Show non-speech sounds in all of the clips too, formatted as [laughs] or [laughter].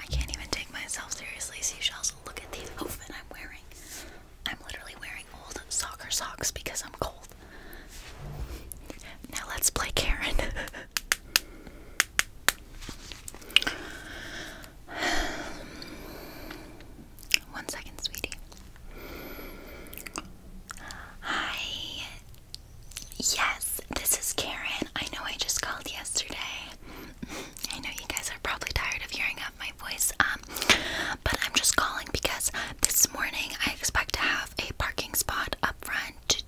I can't even take myself seriously, seashells. Look at the outfit I'm wearing. I'm literally wearing old soccer socks because I'm cold. Now let's play Karen. [laughs] One second, sweetie. Hi. Yes, this is Karen. I know I just called yesterday. I know you guys are probably tired of hearing up my voice, um, but I'm just calling because this morning I expect to have a parking spot up front to,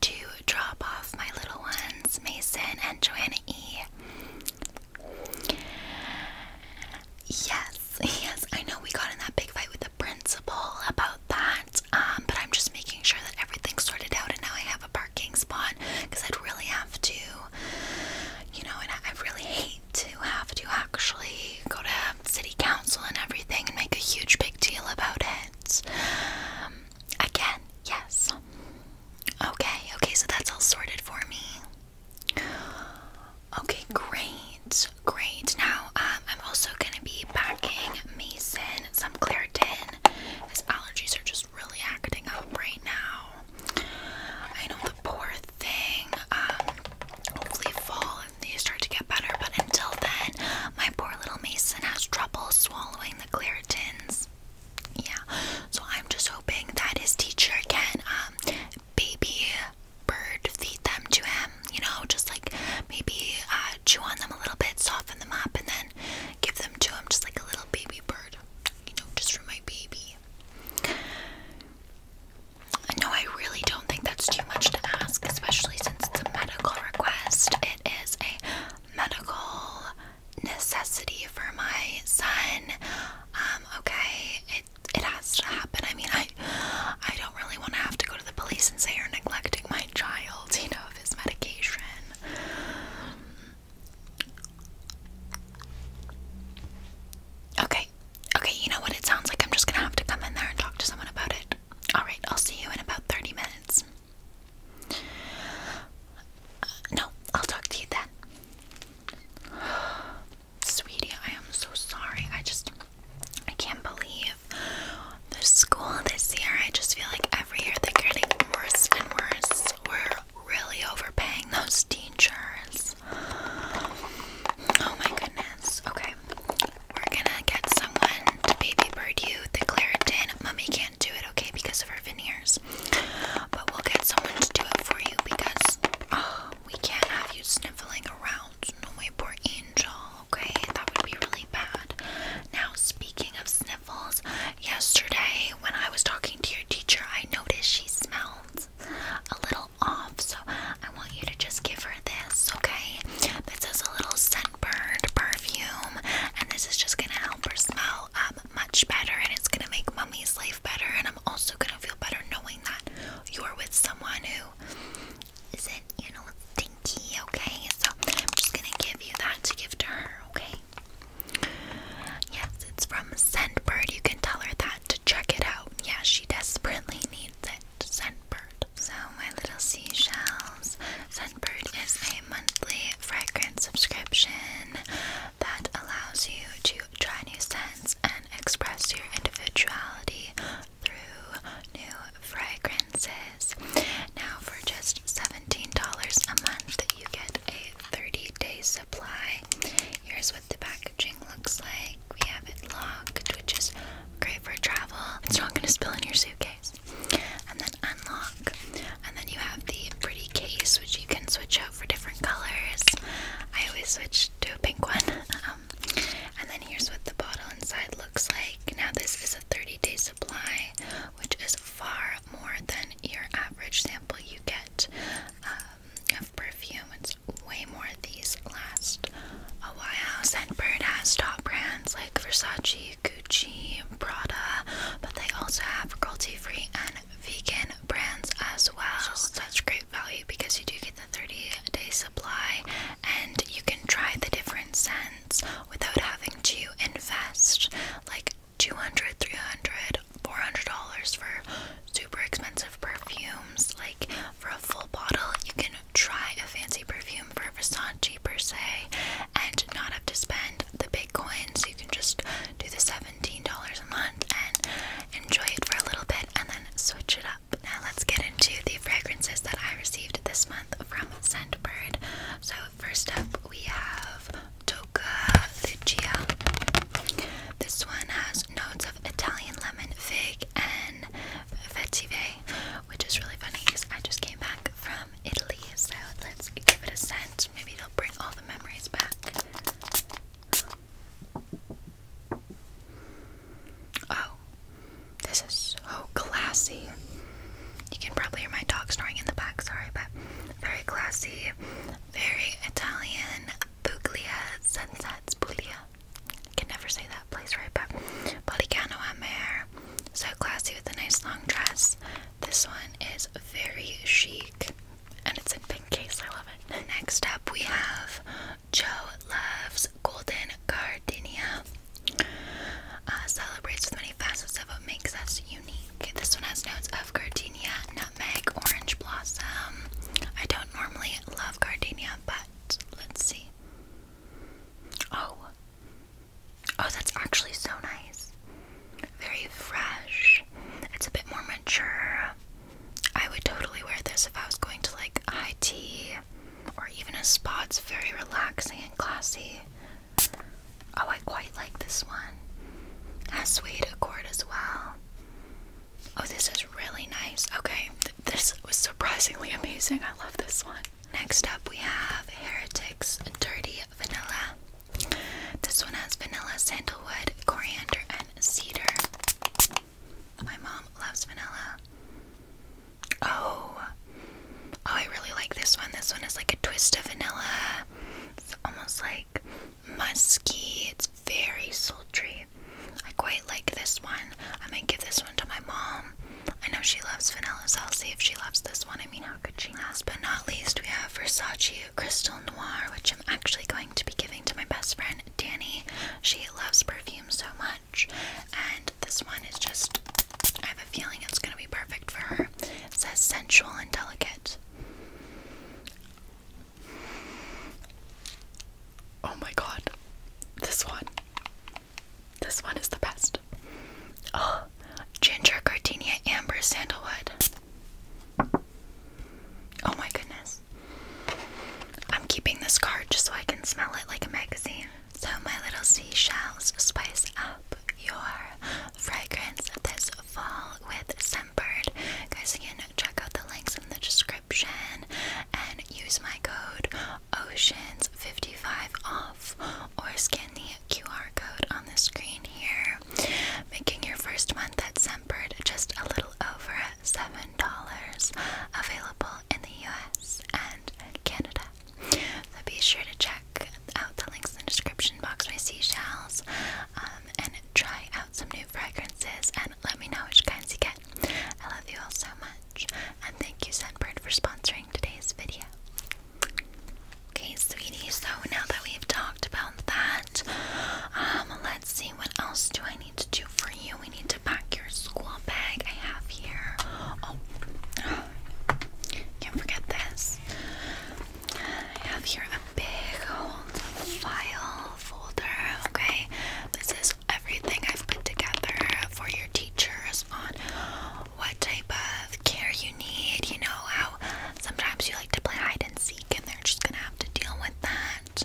drop off my little ones, Mason and Joanna E. Yes, yes, I know we got in that big fight with the principal about that, um, but I'm just making sure that everything's sorted out and now I have a parking spot because I'd really have to, you know, and I really hate to have to actually go to city council and everything and make a huge big deal about it. Um, again, yes. Okay, okay, so that's all sorted for me. Okay, great, great. Now, um, I'm also gonna be packing Mason some Claritin. His allergies are just really acting up right now. I know the poor thing. Um, hopefully, fall and they start to get better. But until then, my poor little Mason has trouble swallowing the Claritins. Yeah. So I'm just hoping that his teacher can um, baby bird feed them to him. You know, just like maybe uh, chew on them a little bit, soften them up, and then give them to him just like a little baby bird, you know, just for my baby. I know I really don't think that's too much to ask, especially since it's a medical request. It is a medical necessity for my son. Um, okay, it it has to happen. I mean, I I don't really want to have to go to the police and say you're neglecting my child, you know, of his medication. Okay. Okay, you know what? It sounds like I'm just gonna have to come in there and talk to someone about it. Alright, I'll see you in about 30 minutes. no, I'll talk to you then. [sighs] Sweetie, I am so sorry. I just. I can't believe the school this year. I just feel like every year they're getting worse and worse. We're really overpaying those teachers. Oh my goodness. Okay. We're gonna get someone to baby bird you the Claritin. Mummy can't do it, okay, because of her veneers. But we'll get someone to do it for you because oh, we can't have you sniffling around. No, my poor angel. Okay, that would be really bad. Now, speaking of sniffling, Yesterday, when I was talking to your teacher, I noticed she smells a little off. So I want you to just give her this, okay? This is a little scent-burned perfume, and this is just gonna help her smell um, much better, and it's gonna make mommy's life better. And I'm also gonna feel better knowing that you're with someone who isn't, you know, stinky, okay? So I'm just gonna give you that to give to her, okay? Yes, it's from Scentbird. You can tell her that to check it out. Yeah, she desperately needs it. Scentbird. So, my little seashells. Scentbird is a monthly fragrance subscription that allows you to try new scents and express your individuality through new fragrance. Now, for just $17 a month, you get a 30 day supply. Here's what the packaging looks like we have it locked, which is great for travel, it's not going to spill in your suitcase. And then unlock, and then you have the pretty case, which you can switch out for different colors. I always switch to a pink one. Um, and then here's what the bottle inside looks like. Now, this is a 30 day supply, which is far more than your average sample you get um, of perfume. It's way more. These last a while. Scentbird has top brands like Versace, Gucci, Prada, but they also have cruelty-free and vegan brands as well. It's such great value because you do get the 30-day supply and you can try the different scents without having to invest like 200 300 400 dollars for super expensive perfumes like for a full bottle you can try a fancy perfume for Versace per se and not have to spend the big coins you can just do the $17 a month and enjoy it for a little bit and then switch it up now let's get into the fragrances that I received this month from Scentbird so first up we have Toca Lucia. This one has notes of Italian lemon, fig, and vetiver, which is really funny because I just came back from Italy, so let's give it a scent. Maybe it'll bring all the memories back. Oh, this is so classy. You can probably hear my dog snoring in the back, sorry, but very classy, very Italian. Puglia Sunsets, Puglia. can never say that place right, but Policano a Mare. So classy with a nice long dress. This one is very chic and it's in pink case. I love it. Next up, we have Joe Loves Golden Gardenia. Uh, celebrates with many facets of what makes us unique. This one has notes of gardenia, nutmeg, orange blossom. I don't normally love gardenia, but let's see. Oh. Oh, that's actually so nice. Very fresh. It's a bit more mature. I would totally wear this if I was going to like high tea or even a spa. It's very relaxing and classy. Oh, I quite like this one. Has suede accord as well. Oh, this is really nice. Okay, this was surprisingly amazing. I love this one. Next up, we have Heretics Dirty Vanilla. This one has vanilla, sandalwood, coriander, and cedar. My mom loves vanilla. Oh. Oh, I really like this one. This one is like a twist of vanilla. It's almost like musky. It's very sultry. I quite like this one. I might give this one to my mom. I know she loves vanilla, so I'll see if she loves this one. I mean, how could she? Last but not least, we have Versace Crystal Noir, which I'm actually going to be giving to my best friend, Danny. She loves perfume so much, and this one is just, I have a feeling it's going to be perfect for her. It says sensual and delicate. Oh my god. This one. This one is the best. Oh, ginger cardinia, amber sandalwood. Oh my goodness. I'm keeping this card just so I can smell it like a magazine. So, my little seashells spice up your fragrance this fall with Scentbird. Guys, again, check out the links in the description and use my code OCEANS55 OFF or scan the QR code on the screen here, making your first month at Scentbird just a little over $7, available in the US Canada. So be sure to check out the links in the description box My Seashells um, and try out some new fragrances and let me know which kinds you get. I love you all so much and thank you Sunbird for sponsoring today's video. Okay, sweetie, so now that we've talked about that, um, let's see what else do I need to do for you. We need to pack your school bag I have here. Oh, can't forget this. I have here a big old file folder, okay? This is everything I've put together for your teachers on what type of care you need. You know how sometimes you like to play hide and seek and they're just gonna have to deal with that.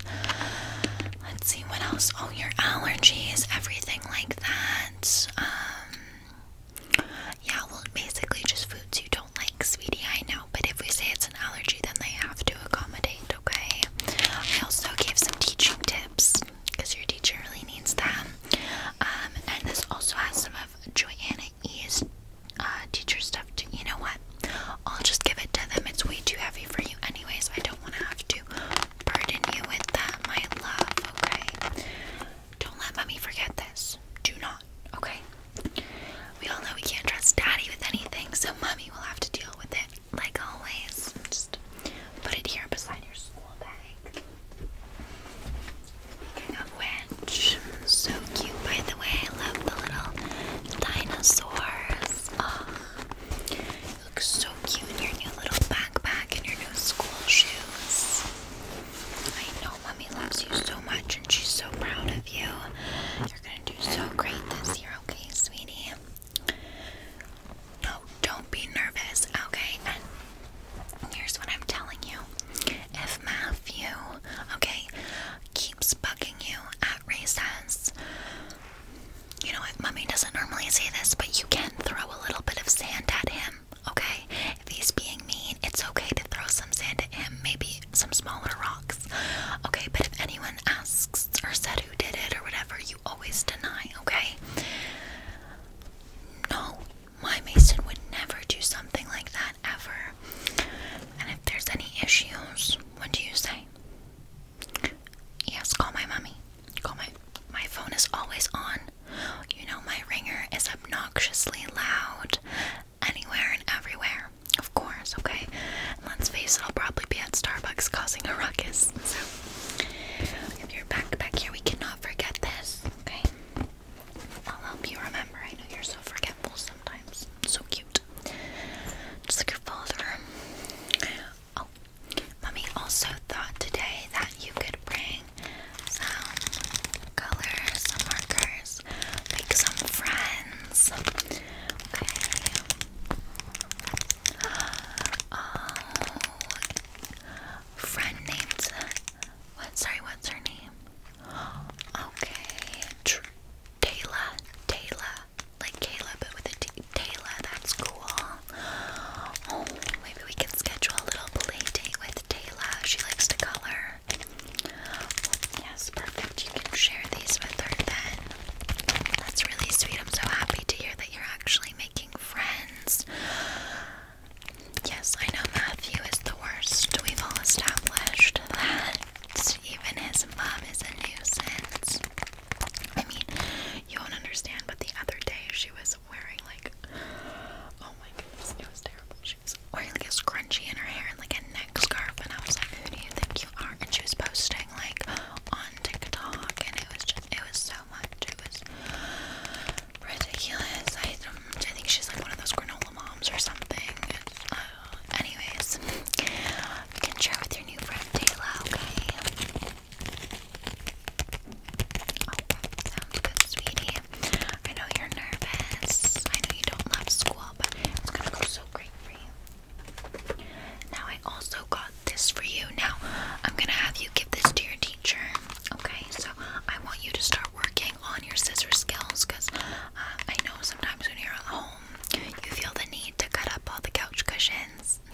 Let's see what else. Oh, your allergies, everything like that. Um, yeah, well, basically just foods you don't like, sweetie. I know, but if we say it's an allergy, then they have to accommodate, okay? I also gave some teaching tips because your teacher really needs them. Um, and this also has some of Joanna E's uh, teacher stuff You know what? I'll just give it to them. It's way too heavy for you, anyways. I don't want to have to burden you with that, my love, okay? Don't let mommy forget this. Do not, okay? We all know we can't trust daddy with anything, so mommy will have to deal with it like always. Just put it here beside your school bag. Speaking of which, so cute by the way. I love the little dinosaurs. Oh, looks so so cute your new little backpack and your new school shoes. I know mommy loves you so much and she's so proud of you. You're gonna do so great this year, okay, sweetie? No, don't be nervous, okay? And here's what I'm telling you. If Matthew, okay, keeps bugging you at recess, you know if Mommy doesn't normally say this, but you can throw a little bit of sand at him, okay? If he's being mean, it's okay to throw some sand at him, maybe some smaller rocks, okay? But if anyone asks or said who did it or whatever, you always deny, okay? No, my mason would never do something like that ever. And if there's any issues, what do you say? Yes, call my mommy. God, my my phone is always on. You know my ringer is obnoxiously loud anywhere and everywhere. Of course, okay. let's face it, I'll probably be at Starbucks causing a ruckus. So if you're back back here, we cannot forget this, okay? I'll help you remember. I know you're so forgetful sometimes. So cute. Just like your father. Oh, mommy also thought today that you could bring some colors, some markers, make some friends. Okay. Oh, friend named. What? Sorry, what's her name? Okay, Tr Taylor. Like Kayla, but with a T. Taylor, that's cool. Oh, maybe we can schedule a little play with Taylor. She likes to color. Yes, perfect. You can share these with her then. That's really sweet. I'm so happy to hear that you're actually making friends. Yes, I know Matthew is the worst. We've all established that. Even his mom is a nuisance. I mean, you won't understand, but the other day she was wearing like oh my goodness, it was terrible. She was wearing like a scrunchie in her hair and like a neck scarf and I was like, Who do you think you are? And she was posting like on TikTok and it was just it was so much. It was ridiculous. I um, I think she's like one of those granola moms or something. Uh, anyways, you can share with your new friend Taylor, okay? Oh, sounds good, sweetie. I know you're nervous. I know you don't love school, but it's gonna go so great for you. Now, I also got this for you. Now, I'm gonna have you give this to your teacher. Okay, so I want you to start working on your scissors skills because uh, I know sometimes when you're at home, you feel the need to cut up all the couch cushions. [laughs]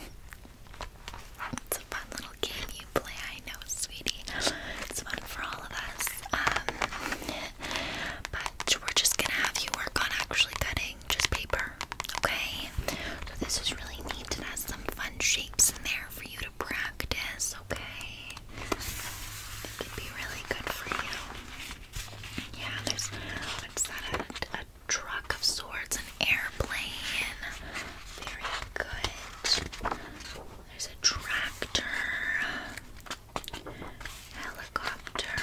It's a fun little game you play, I know, sweetie. It's fun for all of us. Um, but we're just gonna have you work on actually cutting just paper, okay? So this is really neat. It has some fun shapes in there for you to practice, okay? It could be really good for you. Yeah, there's what's that? A, truck of sorts, airplane. Very good. There's a tractor, helicopter,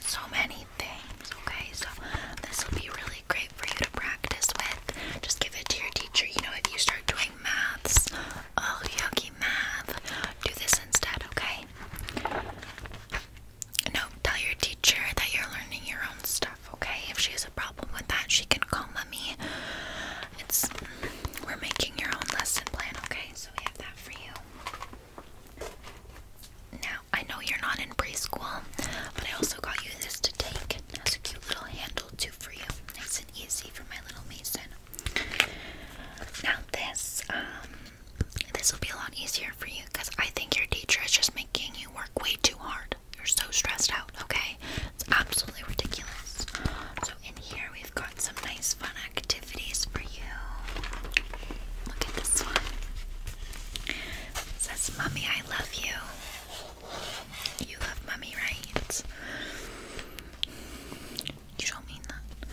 so many things. Okay, so this will be really great for you to practice with. Just give it to your teacher. You know, if you start doing maths, oh, yucky math, do this instead, okay? No, tell your teacher that you're learning your own stuff okay? If she has a problem with that, she can call mommy. It's we're making your own lesson plan, okay? So we have that for you. Now, I know you're not in preschool, but I also got you this to take. It has a cute little handle too for you. Nice and easy for my little Mason. Now this, um, this will be a lot easier for you because I think your teacher is just making you work way too hard. You're so stressed out, okay? It's absolutely ridiculous. So, in here, we've got some nice fun activities for you. Look at this one. says, Mommy, I love you. You love Mommy, right? You don't mean that.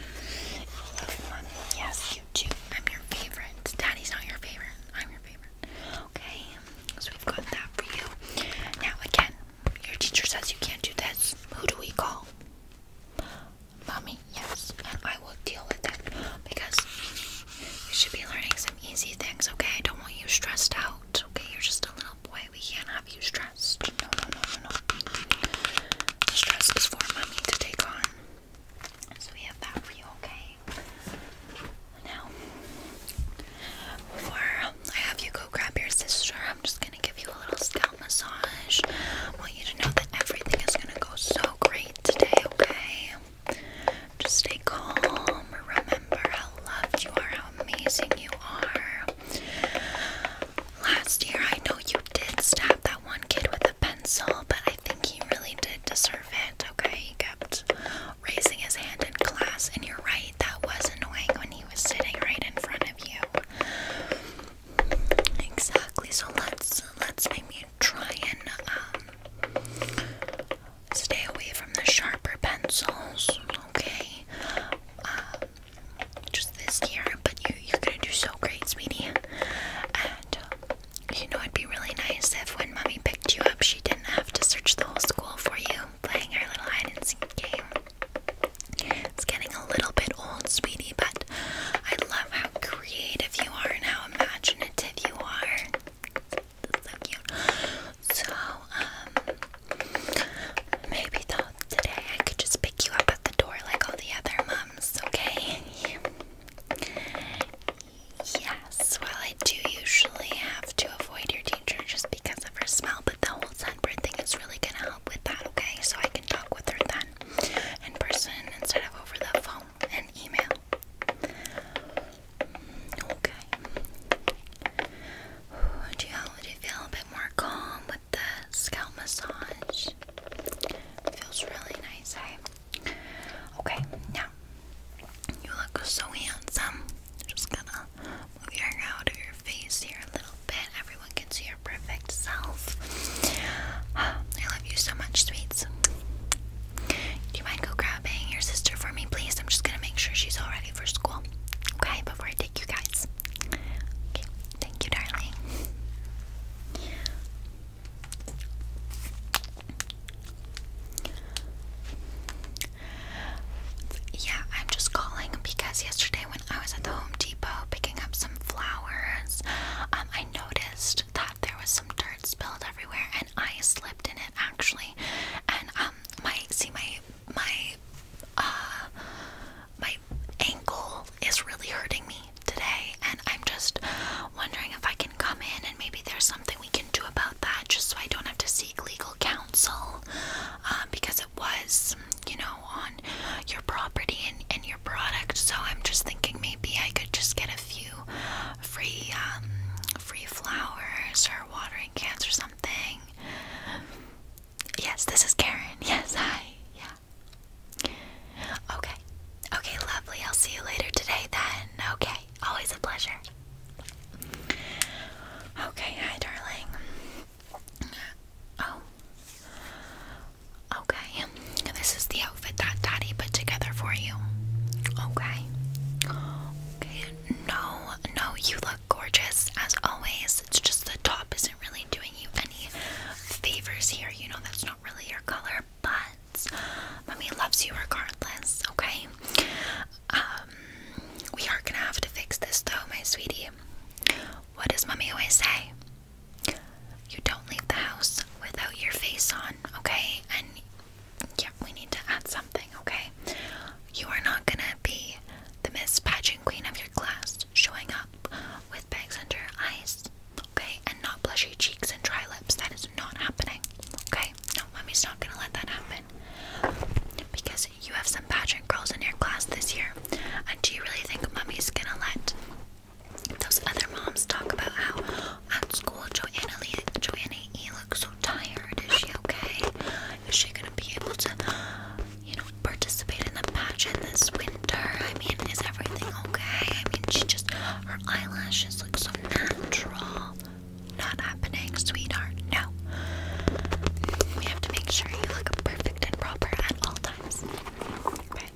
You love Mommy. Yes, you do. I'm your favorite. Daddy's not your favorite. I'm your favorite. Okay, so we've got that for you. Now, again, your teacher says you can't do this. Who do we call? Mommy, yes, I will deal with it because you should be learning some easy things, okay? I don't want you stressed out, okay? You're just a little boy. We can't have you stressed. No, no, no, no, no. stress is for mommy to take on. So we have that for you, okay? Now, before I have you go grab your sister, I'm just gonna give you a little scalp massage. I want you to know that everything is gonna go so great today, okay? Just stay calm. Remember how loved you are, how amazing you are. Last year, I know you did stab that one kid with a pencil, but I think he really did deserve it, okay? He kept raising his hand in class, and you're right, that was annoying when he was sitting right in front of you. Exactly. So let's let's maybe try and um stay away from the sharper pencils, okay? Um, just this year, but you you're gonna do so great, sweetie. You know, it'd be really nice if when mommy picked you up, she didn't have to search the whole school for you playing our little hide and seek game. It's getting a little bit old, sweetie, but I love how creative you are and how imaginative you are. so So, um, maybe though today I could just pick you up at the door like all the other moms, okay? Yes, well, I do usually have to avoid your teacher just because of her smell, but the whole sunburn thing is really going to help with that, okay? So I can talk with her then in person instead of over the phone and email. Mm, okay. Do you, feel a bit more calm with the scalp massage? feels really nice, eh? Okay, now you look so handsome. Just gonna move your hair out of your face here a little bit. Everyone can see your perfect self. I love you so much, sweets. Do you mind go grabbing your sister for me, please? I'm just gonna make sure she's all ready for school. Okay, before I take you guys. Okay, thank you, darling. Yeah, I'm just calling because yesterday when I was at the Home Depot picking up some flowers, um, I noticed that there was some dirt spilled everywhere, and I slipped in it actually. And um, my see my my uh my ankle is really hurting me today, and I'm just wondering if I can come in and maybe there's something we can about that just so I don't have to seek legal counsel um, because it was, you know, on your property and, and your product. So I'm just thinking maybe I could just get a few free, um, free flowers or watering cans or something. Yes, this is Karen. [laughs] Yes, hi. Yeah. Okay. Okay, lovely. I'll see you later today then. Okay always a pleasure. Okay, hi, darling. Oh. Okay, this is the outfit that Daddy put together for you. Okay. Okay, no, no, you look gorgeous as always. It's just the top isn't really doing you any favors here. You know, that's not really your color but mommy loves you regardless, okay? Um, we are gonna have to fix this though, my sweetie. What does mommy always say? You don't leave the house without your face on, okay? And yeah, we need to add something, okay? You are not gonna be the Miss Pageant Queen of your class showing up with bags under your eyes, okay? And not blushy cheeks and dry lips. That is not happening, okay? okay? No, mommy's not gonna let that happen. Because you have some pageant girls in your class this year. And do you really think mommy's gonna let those other moms talk about how at school Joanna Lee, Joanna E looks so tired? Is she okay? Is she gonna be able to, you know, participate in the pageant this winter? I mean, is everything okay? I mean, she just her eyelashes so natural. Not happening, sweetheart. No. We have to make sure you look perfect and proper at all times. Okay.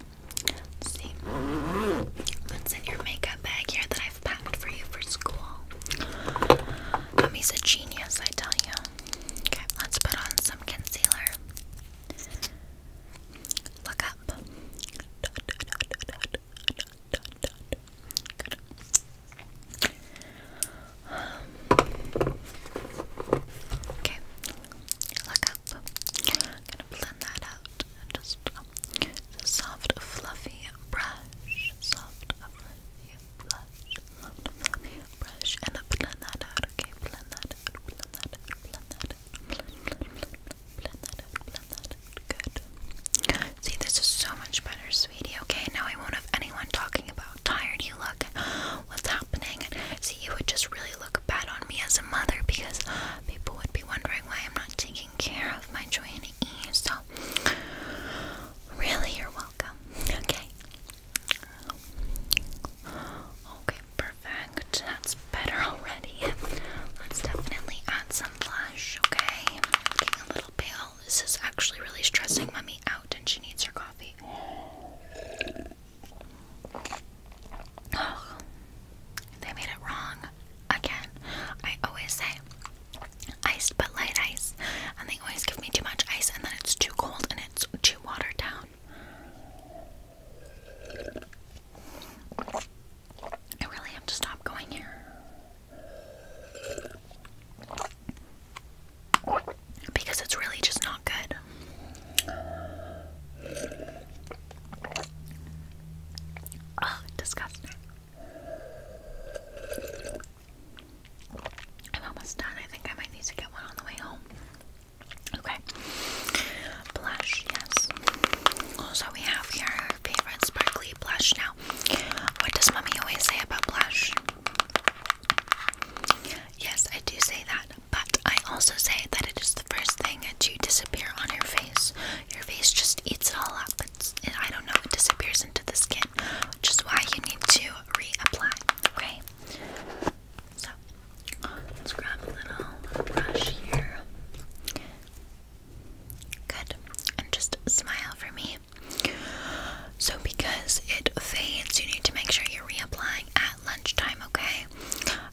Let's get your makeup bag here that I've packed for you for school? Mommy's a genius, I tell you. Okay, let's put on some concealer. Look up. Dot, dot, dot, dot, dot, okay, look up. gonna blend that out just a soft, fluffy brush. Soft, fluffy brush. Soft, fluffy brush. And blend that out, okay? Blend that blend that blend that Blend that out, blend that out. Good. See, this is so much better, sweetie. Okay, now I won't have anyone talking about tired you look and what's happening. See, you would just really look bad on me as a mother because people would be wondering why I'm not taking care of my joy and ease. So, really, you're welcome. Okay. Okay, perfect. That's looks better already. Let's definitely add some blush, okay? i a little pale. This is actually really stressing Mummy out, and she needs her coffee. Oh, they made it wrong again. I always say iced but light ice, and they always give me too much ice, and then it's too cold and it's too watered down. I really have to stop going here. Because it's really just not good. Oh, disgusting. I'm almost done. I think I might need to get one on the way home. Okay blush, yes. Also, we have here favorite sparkly blush. Now, what does mommy always say about blush? Yes, I do say that, but I also say that it is the first thing that you disappear on your face. Your face just eats it all up. It's, I don't know, it disappears into the skin, which is why you need to reapply, okay? So, let's grab a little brush here. Good. And just smile for me. So, because it fades, you need to make sure you're reapplying at lunchtime, okay?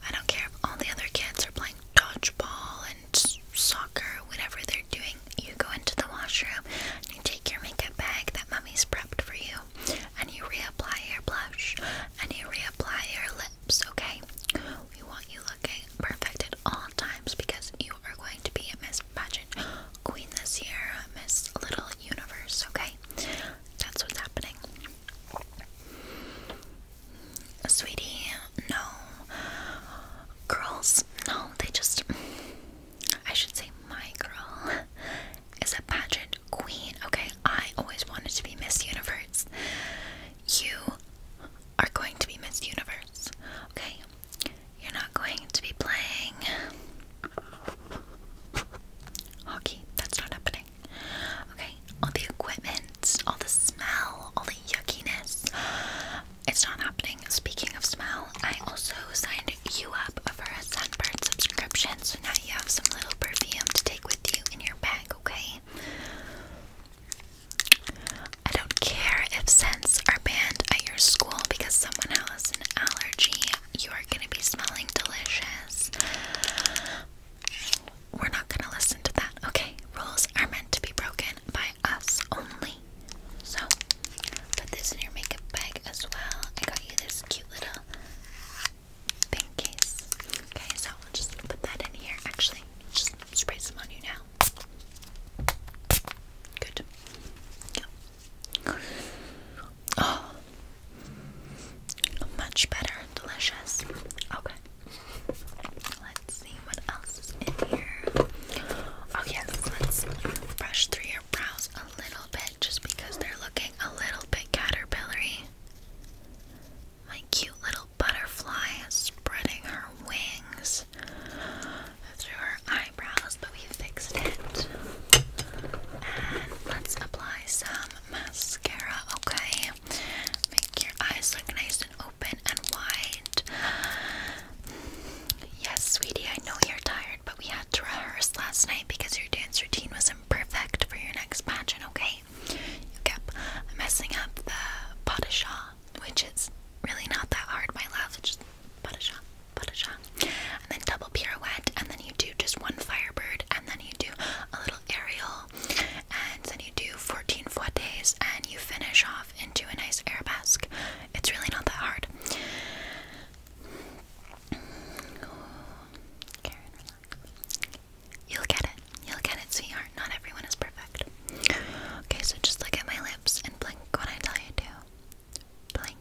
I don't care if all the other kids are playing dodgeball and soccer, whatever they're doing. You go into the washroom you take your makeup bag that mommy's prepped for you and you reapply your blush and you reapply your lips, okay? We want you Okay, perfect at all times because you are going to be Miss Pageant Queen this year, Miss Little Universe, okay? That's what's happening. Sweetie, no. Girls, no, they just. I should say my girl is a pageant queen, okay? I always wanted to be Miss Universe. You are going to be Miss Universe, okay? You're not going to be playing hockey. That's not happening. Okay? All the equipment, all the smell, all the yuckiness. It's not happening. Speaking of smell, I also signed you up for a sunburn subscription, so now you have some little perfume to take with you in your bag, okay? I don't care if scents are banned at your school because someone has an allergy. You are going to be smelling delicious. We're not going to listen to that, okay? Rules are meant to be broken by us only. So, put this in your makeup bag as well. I got you this cute little pink case. Okay, so just put that in here. Actually, just spray some on you now. Good. Yeah. Oh, much better. Delicious. Okay. Let's see what else is in here. Oh yes, let's brush through your brows a little bit just because they're looking a little bit caterpillary. My cute little butterfly is spreading her wings through her eyebrows, but we fixed it. And let's apply some mascara, okay? Make your eyes look nice and open and wide. Yes, sweetie, I know you're tired, but we had to rehearse last night because your dance routine was not perfect for your next pageant, okay? way. You messing up the padishah, which is really not that hard, my love. just padishah, padishah. And then double pirouette, and then you do just one firebird, and then you do a little aerial, and then you do 14 fouettes, and you finish off into a nice arabesque. It's really not that hard. You'll get it. You'll get it, sweetheart. Not everyone is perfect. Okay, so just look at my lips and blink when I tell you to. Blink,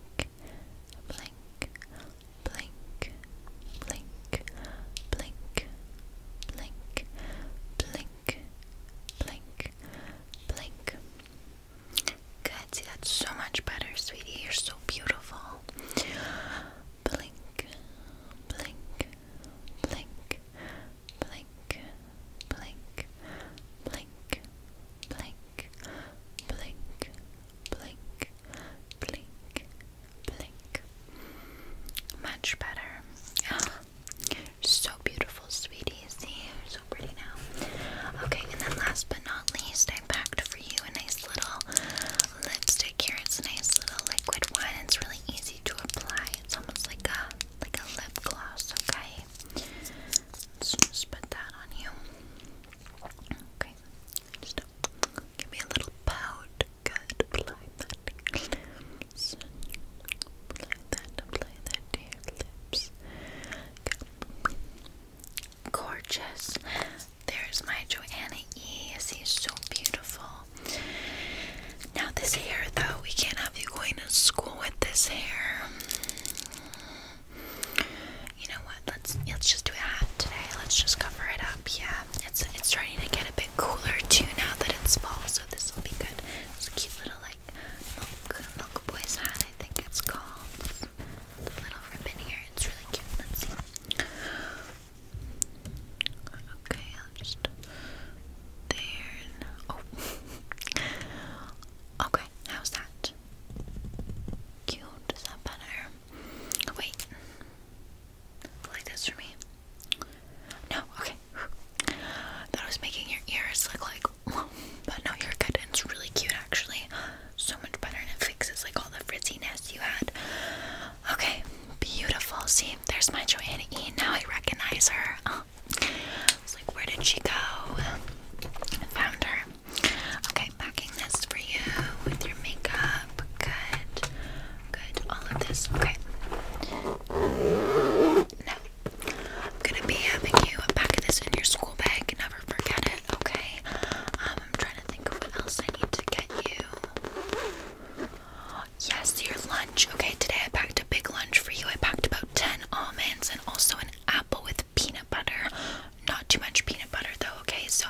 blink, blink, blink, blink, blink, blink, blink, blink. Good. See, that's so much better, sweetie. You're so beautiful. Blink, blink, blink, blink, blink, blink, blink, blink, blink, blink, blink. Much better. Ah, [gasps] so beautiful, sweetie. See, you're so pretty now. Okay, and then last but not least, I packed for you a nice little lipstick here. It's a nice little liquid one. It's really easy to apply. It's almost like a like a lip gloss, okay? just put that on you. Okay. Just give me a little pout. Good. Apply that. Apply that. to your lips. Gorgeous. There's my Joanna E. She's so beautiful. Now, this hair, though, we can't have you going to school with this hair. You know what? Let's let's just do a hat today. Let's just cover it up. Yeah, it's it's starting to get a bit cooler too now that it's fall, so this will be good. It's a cute little like milk milk boy's hat, I think it's called. The little ribbon here, it's really cute. Okay, I'll just there. Oh. [laughs] okay. How's that? Cute. Is that better? Wait, like this for me? No. Okay. That was making your ears look like, [laughs] but no, you're good. it's really cute, actually. So much better, and it fixes like all the frizziness you had. Okay, beautiful. See, there's my Joanna E. Now I recognize her. Oh. Uh, it's like, where did she go? found her. Okay, packing this for you with your makeup. Good. Good. All of this. Okay. Now, I'm gonna be having you pack this in your school bag. Never forget it, okay? Um, I'm trying to think what else I need to get you. Yes, your lunch. Okay, today I packed a big lunch for you. I packed about 10 almonds and also an apple with peanut butter. Not too much peanut butter though, okay? So,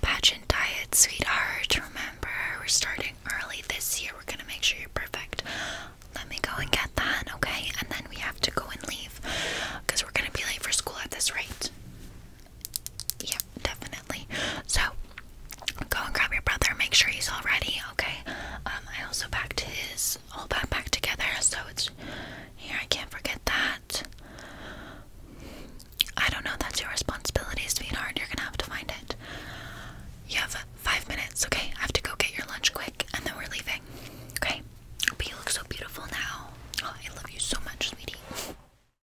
pageant diet, sweetheart. Remember, we're starting early this year. We're gonna make sure you're perfect. Let me go and get that, okay? And then we have to go and leave because we're gonna be late for school at this rate. Yeah, definitely. So go and grab your brother. Make sure he's all ready, okay? Um, I also packed his whole backpack together, so it's here. I can't forget that. I don't know. That's your responsibility, sweetheart. You're gonna have to find it. You have five minutes, okay? I have to go get your lunch quick, and then we're leaving, okay? But you look so beautiful now. Oh, I love you so much, sweetie.